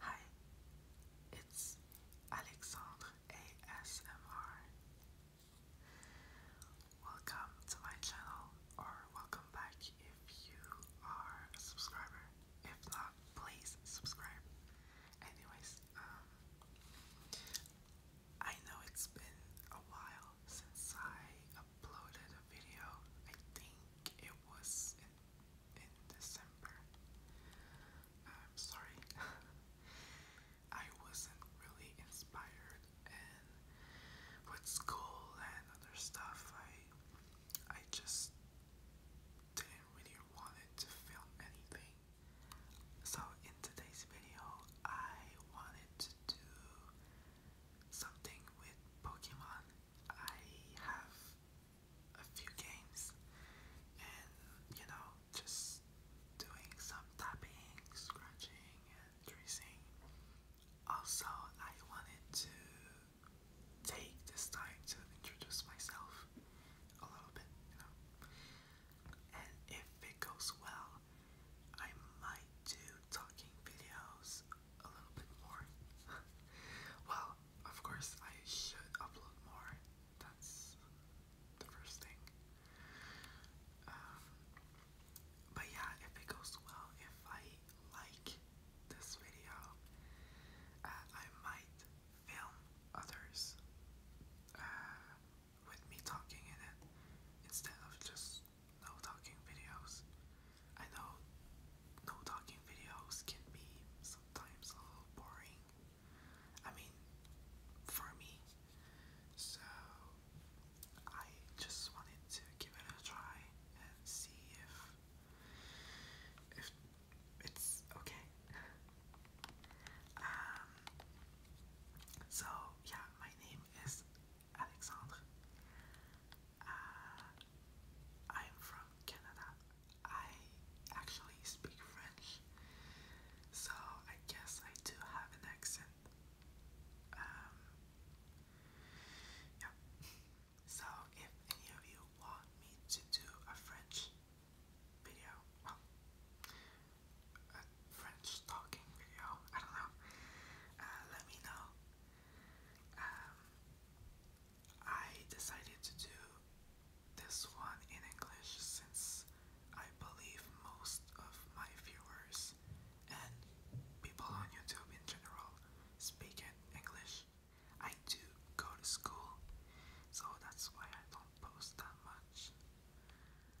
Hi, it's Alexandre ASMR. Welcome to my channel, or welcome back if you are a subscriber. If not, please subscribe. Anyways, um, I know it's been a while since I uploaded a video, I think it was in, December. I'm sorry. I wasn't really inspired and with school and other stuff I I just didn't really want to film anything. So in today's video I wanted to do something with Pokemon. I have a few games and you know, just doing some tapping, scratching, and tracing. Also, I wanted to take this time to introduce myself a little bit, you know. And if it goes well, I might do talking videos a little bit more. well, of course, I should upload more. That's the first thing. Um, but yeah, if it goes well, if I like this video, uh, I might film others uh, with me talking in it instead of just no talking videos. I know no talking videos can be sometimes a little boring. I mean, for me. So, I just wanted to give it a try and see if if it's okay. um, so yeah, my name is Alexandre. Uh, I'm from Canada. I actually speak French, so I guess I do have an accent. Um, yeah. So if any of you want me to do a French video, well, a French talking video, I don't know, uh, let me know. Um, I decided to do this one in English since I believe most of my viewers and people on YouTube in general speak in English. I do go to school, so that's why I don't post that much.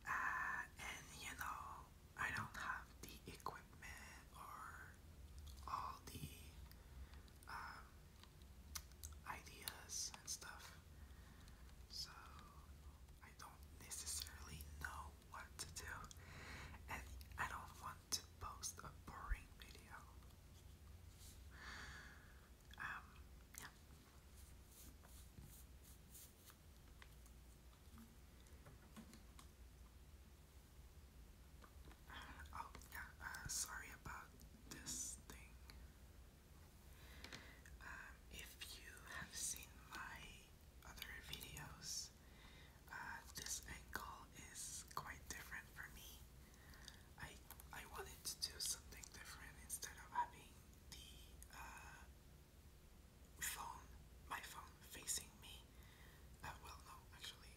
Uh, and you know, I don't have the equipment or all the um, ideas and stuff, so I don't necessarily know what to do, and I don't want to post a boring video. Um, yeah. Oh, yeah, uh, sorry about this thing. Um, if you have seen my other videos, uh, this angle is quite different for me. I I wanted to do something different instead of having the uh, phone, my phone facing me. Uh, well, no, actually,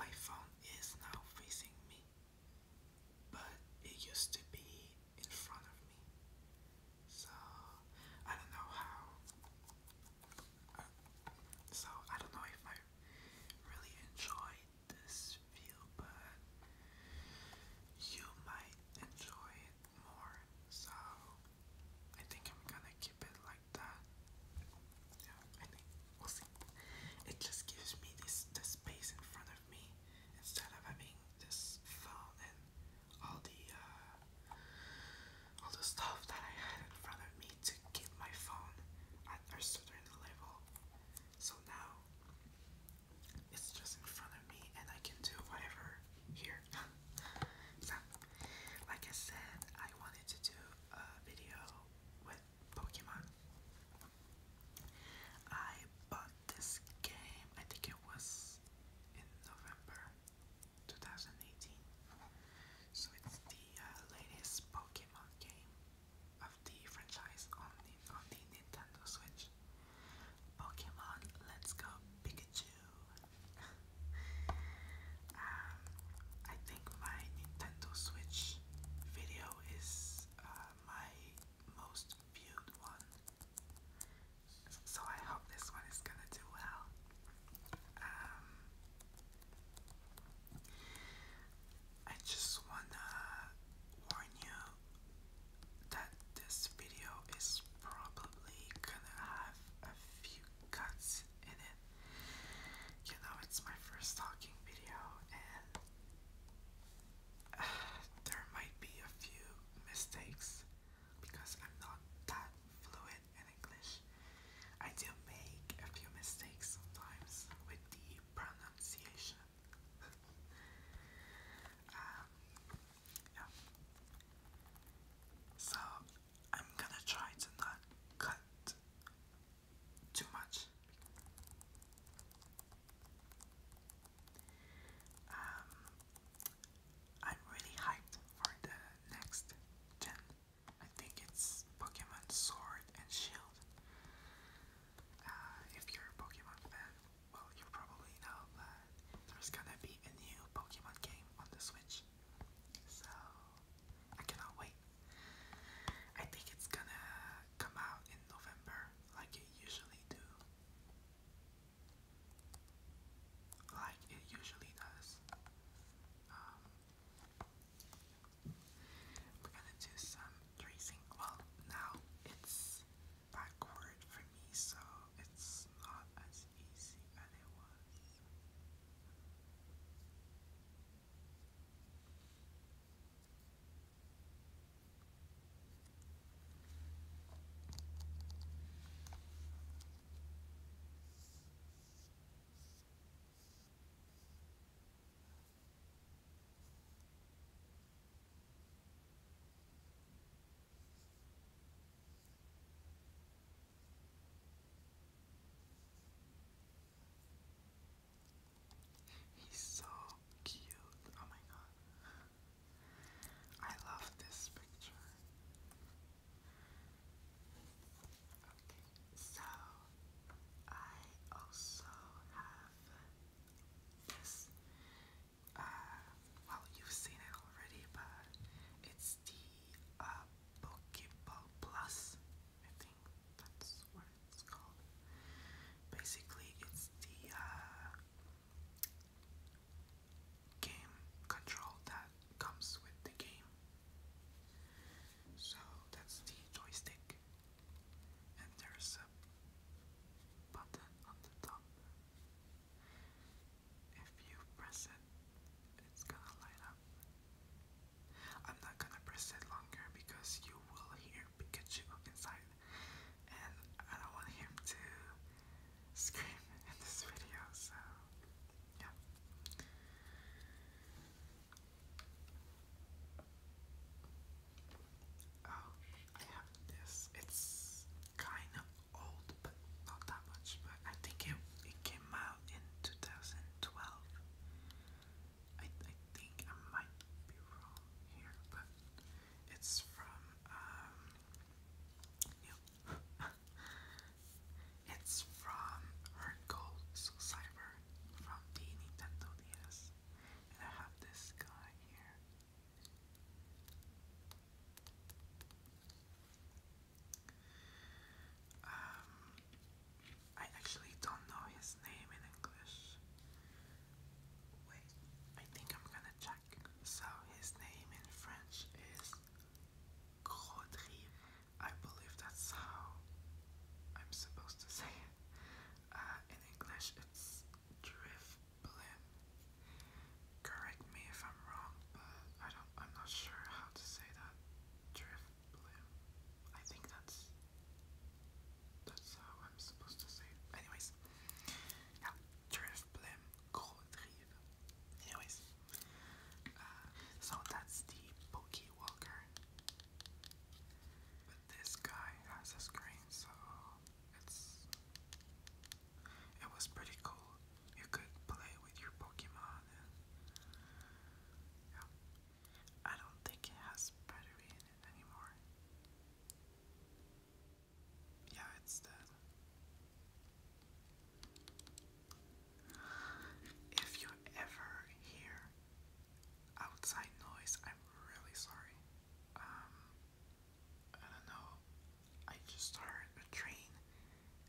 my phone is now facing me, but it used to be in front of me. So I don't know how. Uh, so I don't know if I really enjoyed this view, but you might enjoy it more so I think I'm gonna keep it like that. Yeah, I think we'll see. It just gives me this the space in front of me instead of having this phone and all the uh, all the stuff that I had in front of me to keep my phone at a certain level. So now it's just in front of me and I can do whatever here so, like I said, I wanted to do a video with Pokemon. I bought this game, I think it was in November 2018. So it's the uh, latest Pokemon game of the franchise on the, on the Nintendo Switch. Pokemon Let's Go Pikachu um, I think my Nintendo Switch video is uh, my most viewed one. So I hope this one is gonna do well. Um, I just wanna warn you that this video is probably gonna have a few cuts you know, it's my first talking video, and there might be a few mistakes because I'm not that fluent in English. I do make a few mistakes sometimes with the pronunciation. um, yeah. So I'm gonna try to not cut too much. Um, I'm really hyped for the next gen. I think it's Pokemon Sword and Shield. Uh, if you're a Pokemon fan, well, you probably know, but there's gonna be a new Pokemon game on the Switch. So, I cannot wait. I think it's gonna come out in November like it usually do. Like it usually does. Um, we're gonna do some tracing. Well, now it's backward for me, so it's not as easy as He's so cute. Oh my god. I love this picture. Okay, so I also have this. Uh, well, you've seen it already, but it's the uh, Pokeball Plus. I think that's what it's called. Basically, it's the uh, game control that comes with the game. So that's the joystick, and there's a button on the top. If you press it, it's gonna light I'm not gonna press it longer because you will hear Pikachu inside, and I don't want him to scream in this video, so yeah. Oh, I have this. It's kind of old, but not that much. But I think it it came out in 2009 twelve. I I think I might be wrong here, but it's from um yep. it's from Heart Cyber from the Nintendo DS. And I have this guy here. Um, I actually don't know his name in English. Wait, I think I'm gonna check. So his name in French is Gaudry. I believe that's how I'm supposed to say it. Uh, in English, it's Drift Correct me if I'm wrong, but I don't. I'm not sure how to say that. Drift I think that's that's how I'm supposed to say Anyways. Ja, Drift Blim Koldrive. Anyways. Uh, so that's the Pokey But this guy has a screen, so it's it was pretty cool you could play with your Pokemon yeah. I don't think it has battery in it anymore. Yeah, it's dead. If you ever hear outside noise, I'm really sorry. Um, I don't know. I just heard a train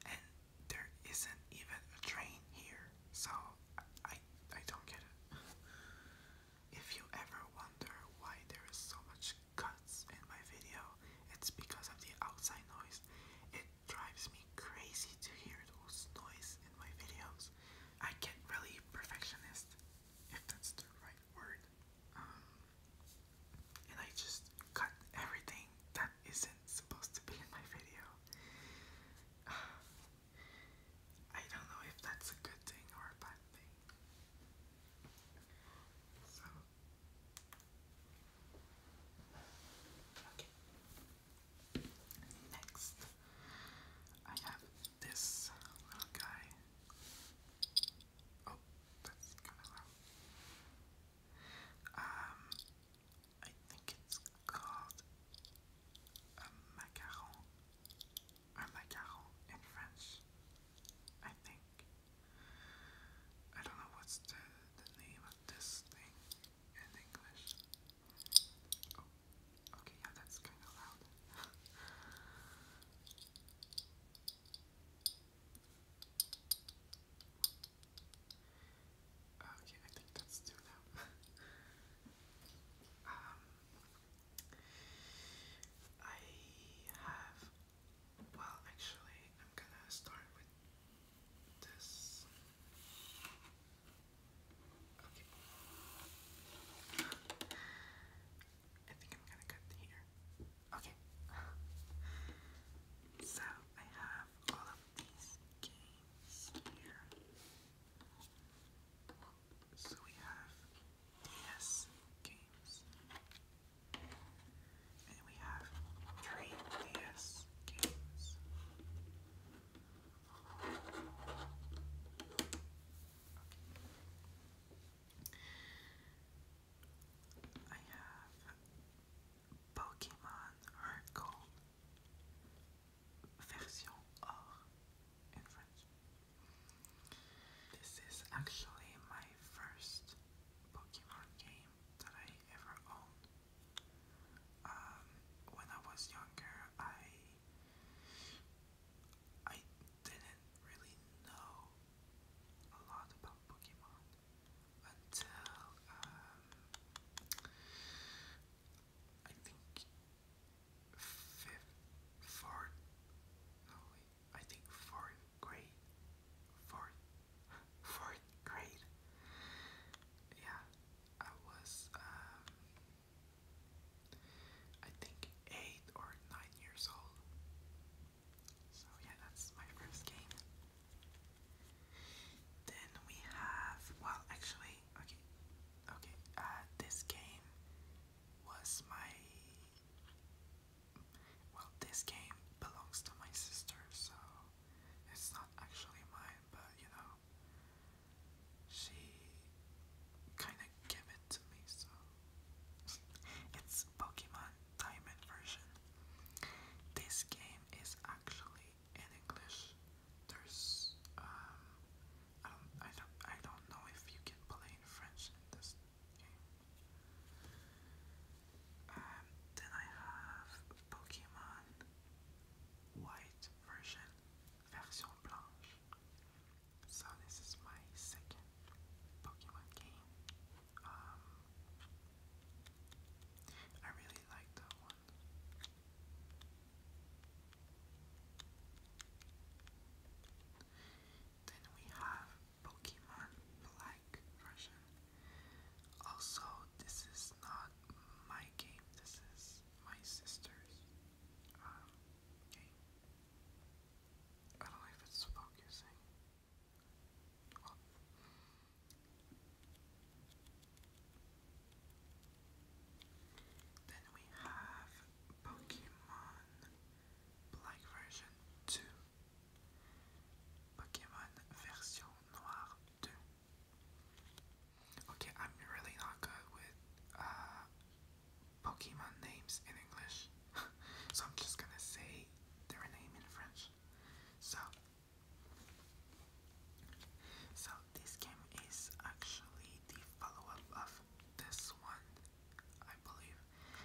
and there isn't even a train here, so I, I don't get it. if you ever wonder why there is so much cuts in my video, it's because of the outside noise. It drives me crazy to hear those noise in my videos. I get really perfectionist, if that's the right word. Um, and I just cut everything that isn't supposed to be in my video. I don't know if that's a good thing or a bad thing. So, okay. Next, I have this little guy. Oh, that's kind of loud. Um, I think it's called a macaron or macaron in French. I think. I don't know what's the, the name of this thing in English. Oh, okay, yeah, that's kind of loud. Okay, I think that's two now. Um, I have. Well, actually, I'm gonna start with this. Okay. I think I'm gonna cut here. Okay. so I have all of these sphere. So we have DS games. And we have three DS games. I have Pokemon Heart Gold version or This is actually my first Pokemon game that I ever owned. Um, when I was younger, I I didn't really know a lot about Pokemon until um, I think fifth, fourth, no wait, I think fourth grade, fourth, fourth grade. Yeah, I was, um, I think eight or nine years old. So yeah, that's my first game. Then we have, well, actually, okay, okay, uh, this game was my, well, this game belongs to my sister, so it's not actually mine, but you know, she kind of gave it to me, so it's Pokemon Diamond version. This game is actually in English. There's um I don't I don't know if you can play in French in this game. Um then I have Pokemon White version version blanche. So this is my second Pokemon game. Um I really like that one. Then we have Pokemon Black version. Also, this is not my game, this is my sister's um, game. I don't know if it's focusing. Then we have Pokemon Black Version 2, Pokemon Version Noire 2. Okay, I'm really not good with uh, Pokemon names in English, so I'm just gonna say their name in French. So, so this game is actually the follow-up of this one, I believe,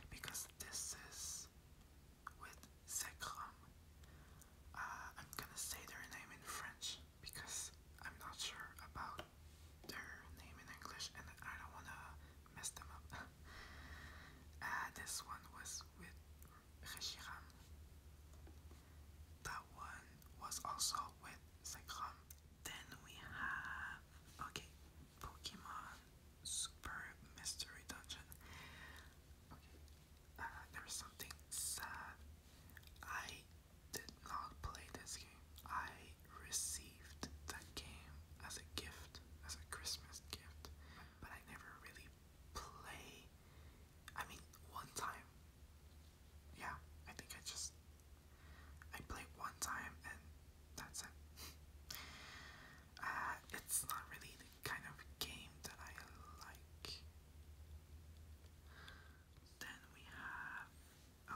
because this is with Zekrom. Uh, I'm gonna say their name in French because I'm not sure about their name in English and I don't wanna mess them up. Uh, this one was with Regiram. That one was also with Zekrom. Then we have okay, Pokemon Super Mystery Dungeon. Okay, uh, there is something sad. I did not play this game. I received that game as a gift, as a Christmas gift, but I never really play I mean, one time. Yeah, I think I just. I played one time and that's it. uh, it's not really the kind of game that I like. Then we have.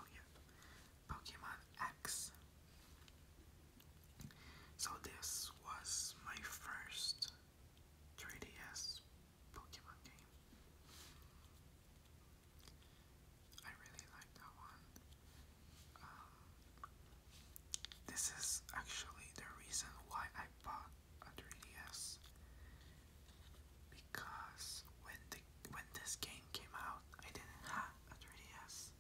Oh, yeah. Pokemon X. So, this was my first 3DS Pokemon game. I really like that one. Um, this is actually the reason why I bought a 3DS because when the when this game came out, I didn't have a 3DS,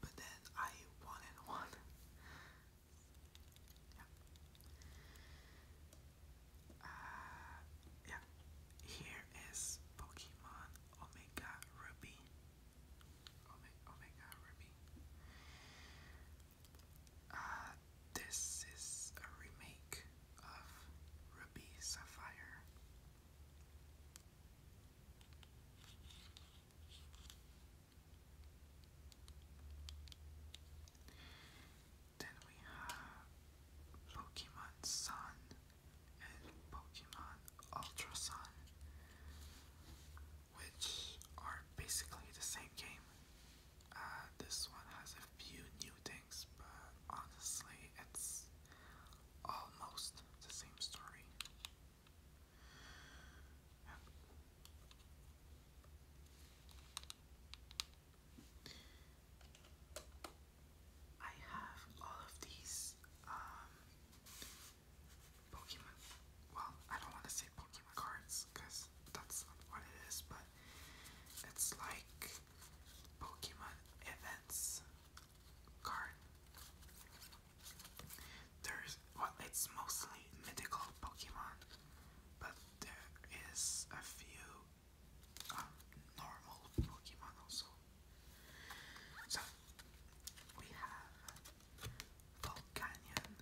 but then I wanted one. Uh, yeah. Here is Pokemon Omega Ruby. Ome Omega Ruby. Uh, this is a remake of Ruby Sapphire. Then we have Pokemon Sun and Pokemon Ultra Sun, which are basically the same game. Uh, this one has a few new things, but honestly, it's almost the same story. I have all of these um, Pokemon. Well, I don't want to say Pokemon cards because that's not what it is, but it's like Pokemon events card. There's well, it's mostly mythical Pokemon, but there is a few um, normal Pokemon So we have Volcanion.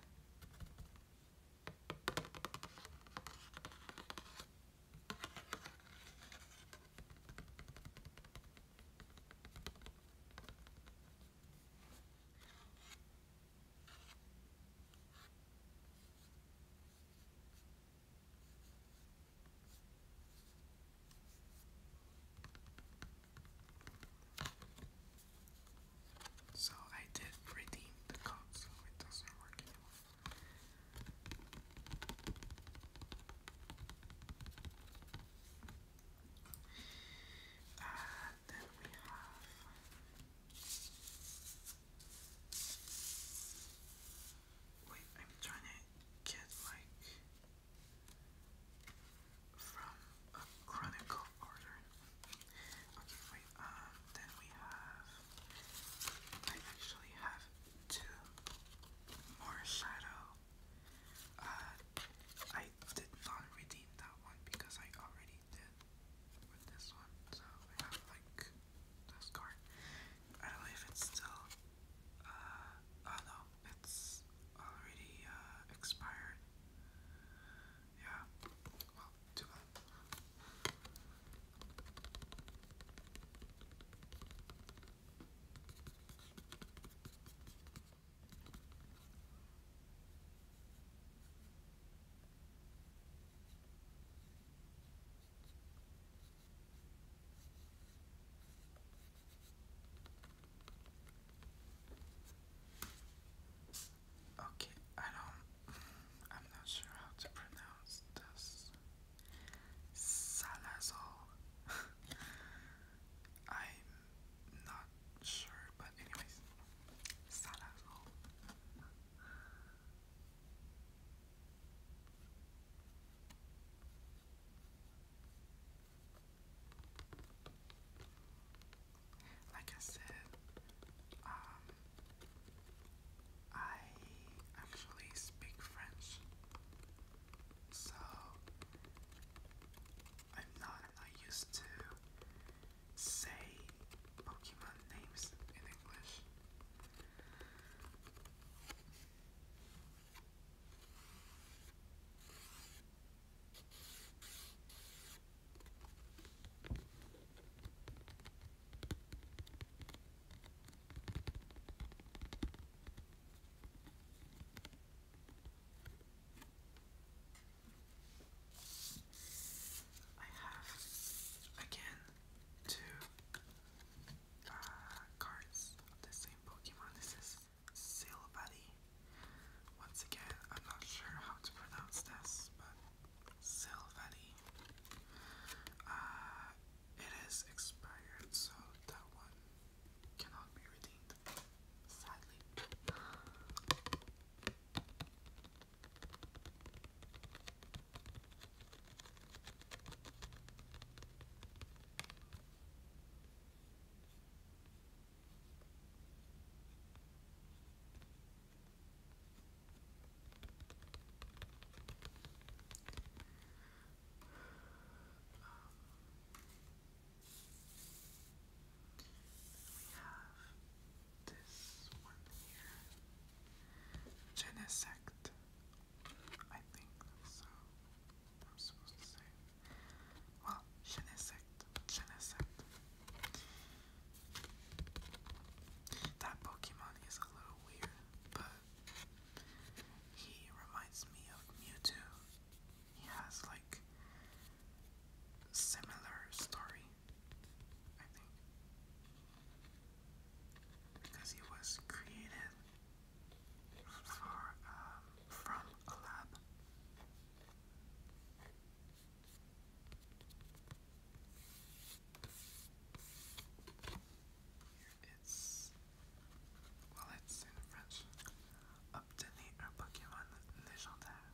So I did redeem the code, so it doesn't work anymore. Uh, then we have Wait, I'm trying to get like from a chronicle order. Okay, wait, um then we have I actually have two more shadow. Uh I did not redeem that one because I already did with this one. So I have like the score. I don't know if it's still, uh, oh, no, it's already, uh, expired. Yeah, well, too bad. Okay, I don't. Mm, I'm not sure how to pronounce this. Salazar. I'm not sure, but anyways, Salazar. Like I said, um, I actually speak French, so I'm not, i used to say Pokemon names in English. I have again two uh, cards of the same Pokemon. This is Silvally. Once again, I'm not sure how to pronounce this, but Silvally. Uh, it is expired, so that one cannot be redeemed, sadly. Um, we have this one here. Genesect. I think that's I'm supposed to say Well, Genesect. Genesect. That Pokemon is a little weird, but he reminds me of Mewtwo. He has like similar story, I think because he was created for, um, from a lab. It's well, it's in French. Obtenez un Pokémon légendaire.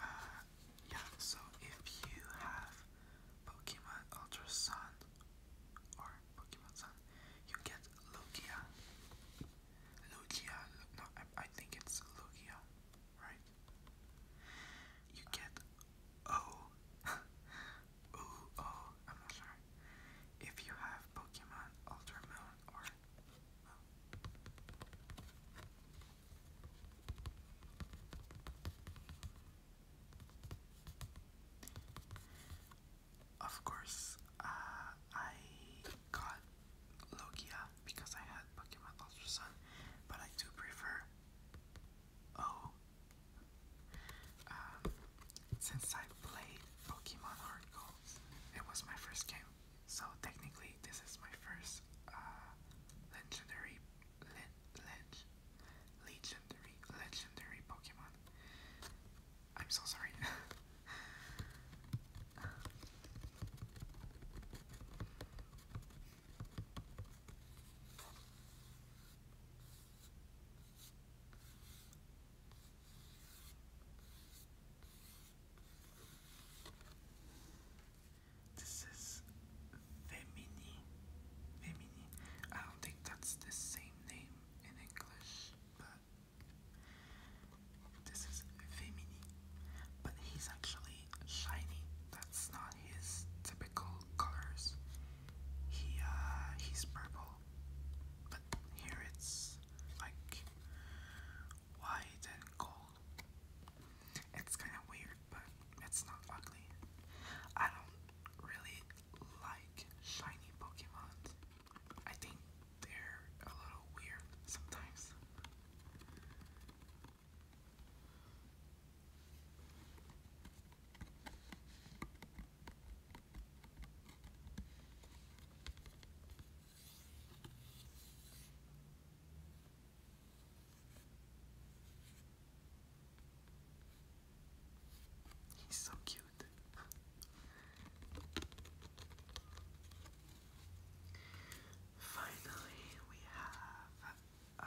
Uh, yeah, so if you have Pokemon Ultra Sun or Pokemon Sun, you get Lugia. Lugia, no, I, think it's Lugia, right? You get O. am not If you have Pokemon Ultra or. Oh. Of course, uh, I got Logia because I had Pokemon Ultra Sun, but I do prefer O. Um, since I played Pokemon Heart Gold, it was my first game, so technically this is my first uh, legendary le legendary legendary Pokemon. I'm so sorry. This is Femini. Femini. I don't think that's the same name in English, but this is Femini. But he's actually shiny. That's not his typical colors. He uh he's purple. But here it's like white and gold. It's kind of weird, but it's not ugly. I don't really like shiny Pokemon. I think they're a little weird sometimes. He's so cute. Finally, we have uh,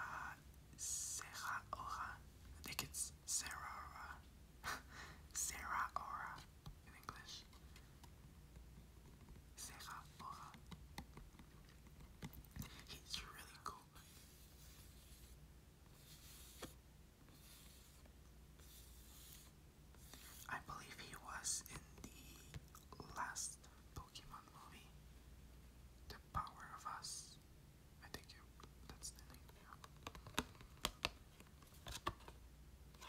Sarah Ora. I think it's Sarah Ora. Sarah Ora in English. Sarah Ora. He's really cool. I believe he was in the last Pokemon movie, The Power of Us. I think that's the name.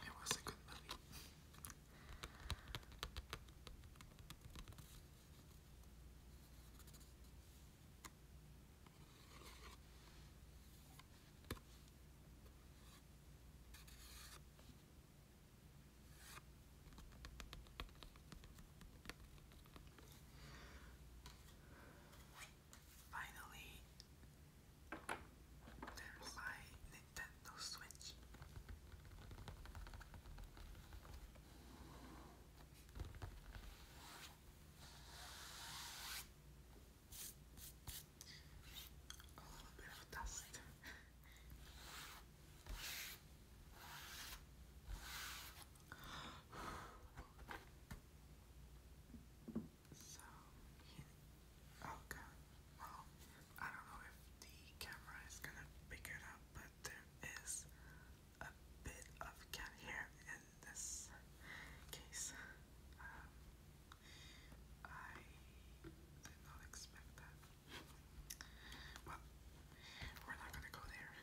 It was a good movie. Finally, there's my Nintendo Switch. A little bit of dust. okay. Well, I don't know if the camera is gonna pick it up, that there is a bit of cat hair in this case. Um, I did not expect that. Well, we're not gonna go there.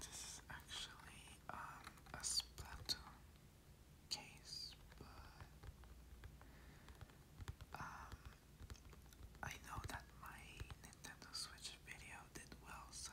This is actually um, a Splatoon case, but um, I know that my Nintendo Switch video did well, so.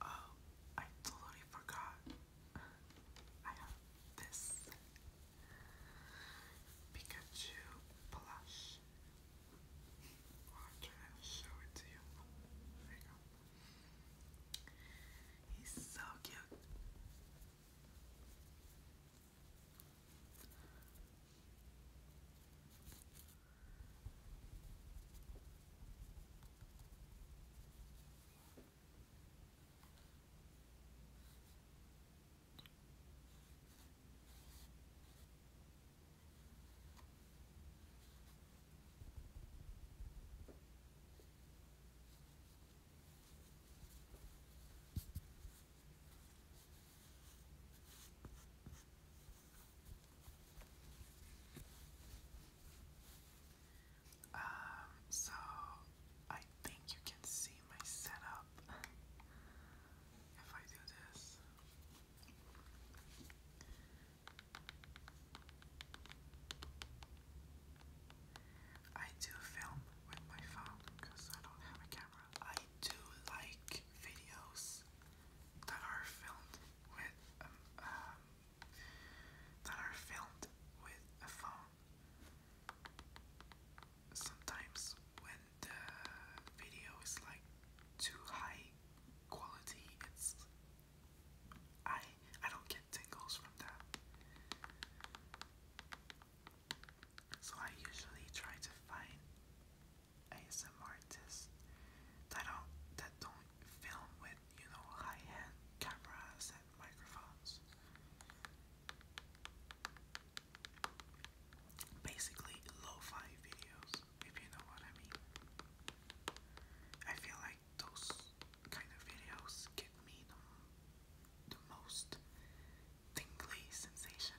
Oh, I totally forgot. I have this Pikachu plush. Well, I'm show it to you. There you go. He's so cute. Um, so I think you can see my setup if I do this. I do film with my phone because I don't have a camera. I do like videos that are filmed with um, um that are filmed with a phone sometimes when the video is like too high quality, it's I I don't get tingles from that. So I usually try to find ASM artists that don't that don't film with you know high-end cameras and microphones basically lo videos, if you know what I mean. I feel like those kind of videos get me the most tingly sensation.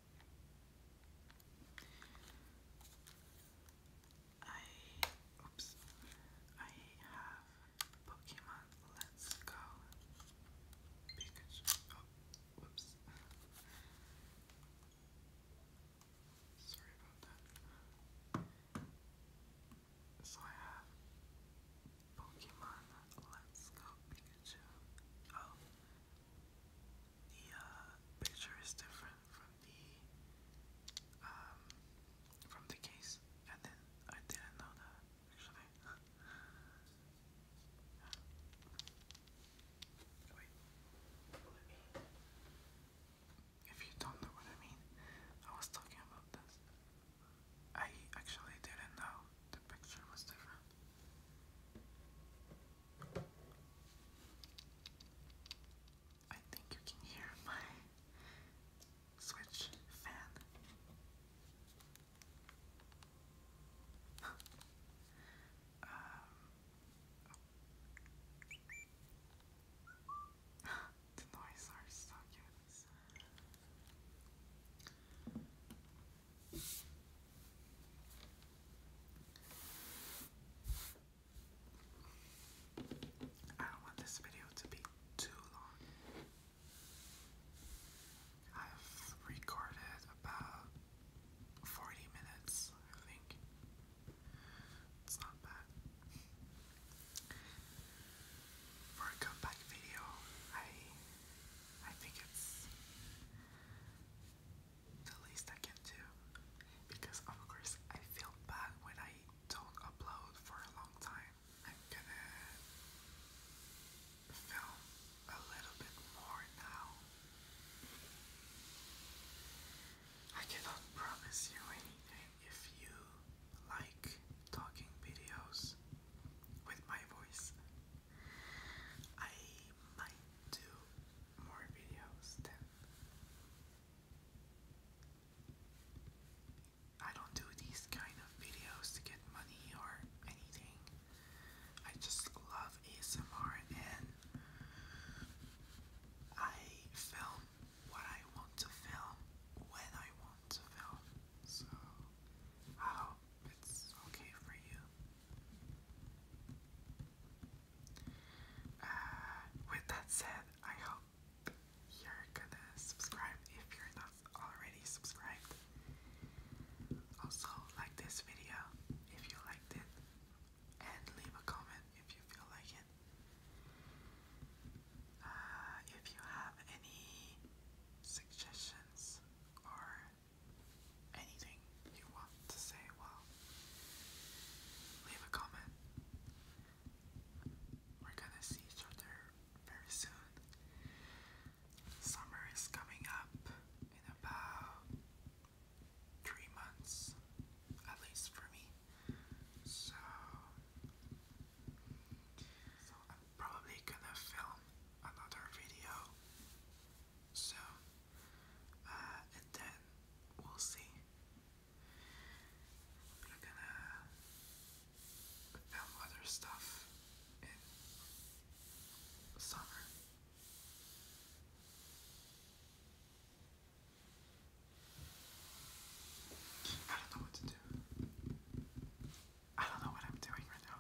I oops I have Pokemon Let's Go Pikachu oh whoops sorry about that so I have Pokemon Let's Go Pikachu oh the uh, picture is different from the um, from the case. And then I didn't know that actually. Wait, let me. If you don't know what I mean, I was talking about this. I actually didn't know the picture was different. I think you can hear my switch fan. Um, the noise are so cute. I don't want this video to be too long. I've recorded about 40 minutes, I think. It's not bad. For a comeback video, I I think it's the least I can do because of course I feel bad when I don't upload for a long time. I'm gonna film a little bit more now. I cannot promise you anything if you like talking videos with my voice. I might do more videos than I don't do these kind of videos to get money or anything. I just love ASMR and I film what I want to film when I want to film. So I hope it's okay for you. Uh, with that said, I hope you're gonna subscribe if you're not already subscribed. Also, like this video if you liked it, and leave a comment if you feel like it. Uh, if you have any suggestions or anything you want to say, well, leave a comment. We're gonna see each other very soon. Summer is coming up in about three months, at least for me. So, so I'm probably gonna film another video so, uh, and then we'll see. We're gonna film other stuff in summer. I don't know what to do. I don't know what I'm doing right now.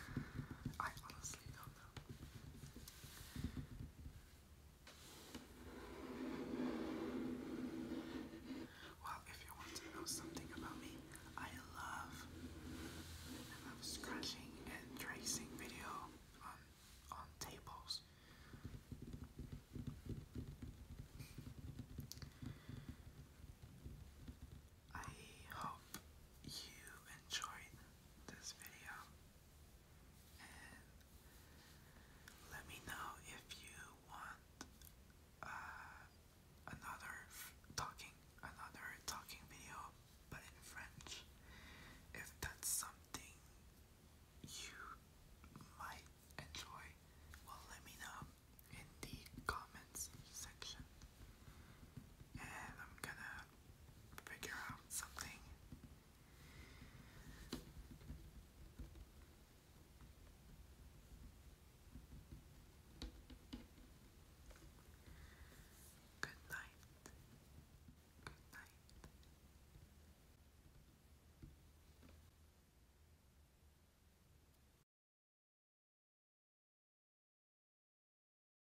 I honestly don't know. Well, if you want to know something about me, I love, I love scratching and tracing video on on tables. I hope you enjoyed this video let me know if you want uh, another talking another talking video but in French if that's something you might enjoy well let me know in the comments section and I'm gonna figure out something. Good night. Good night.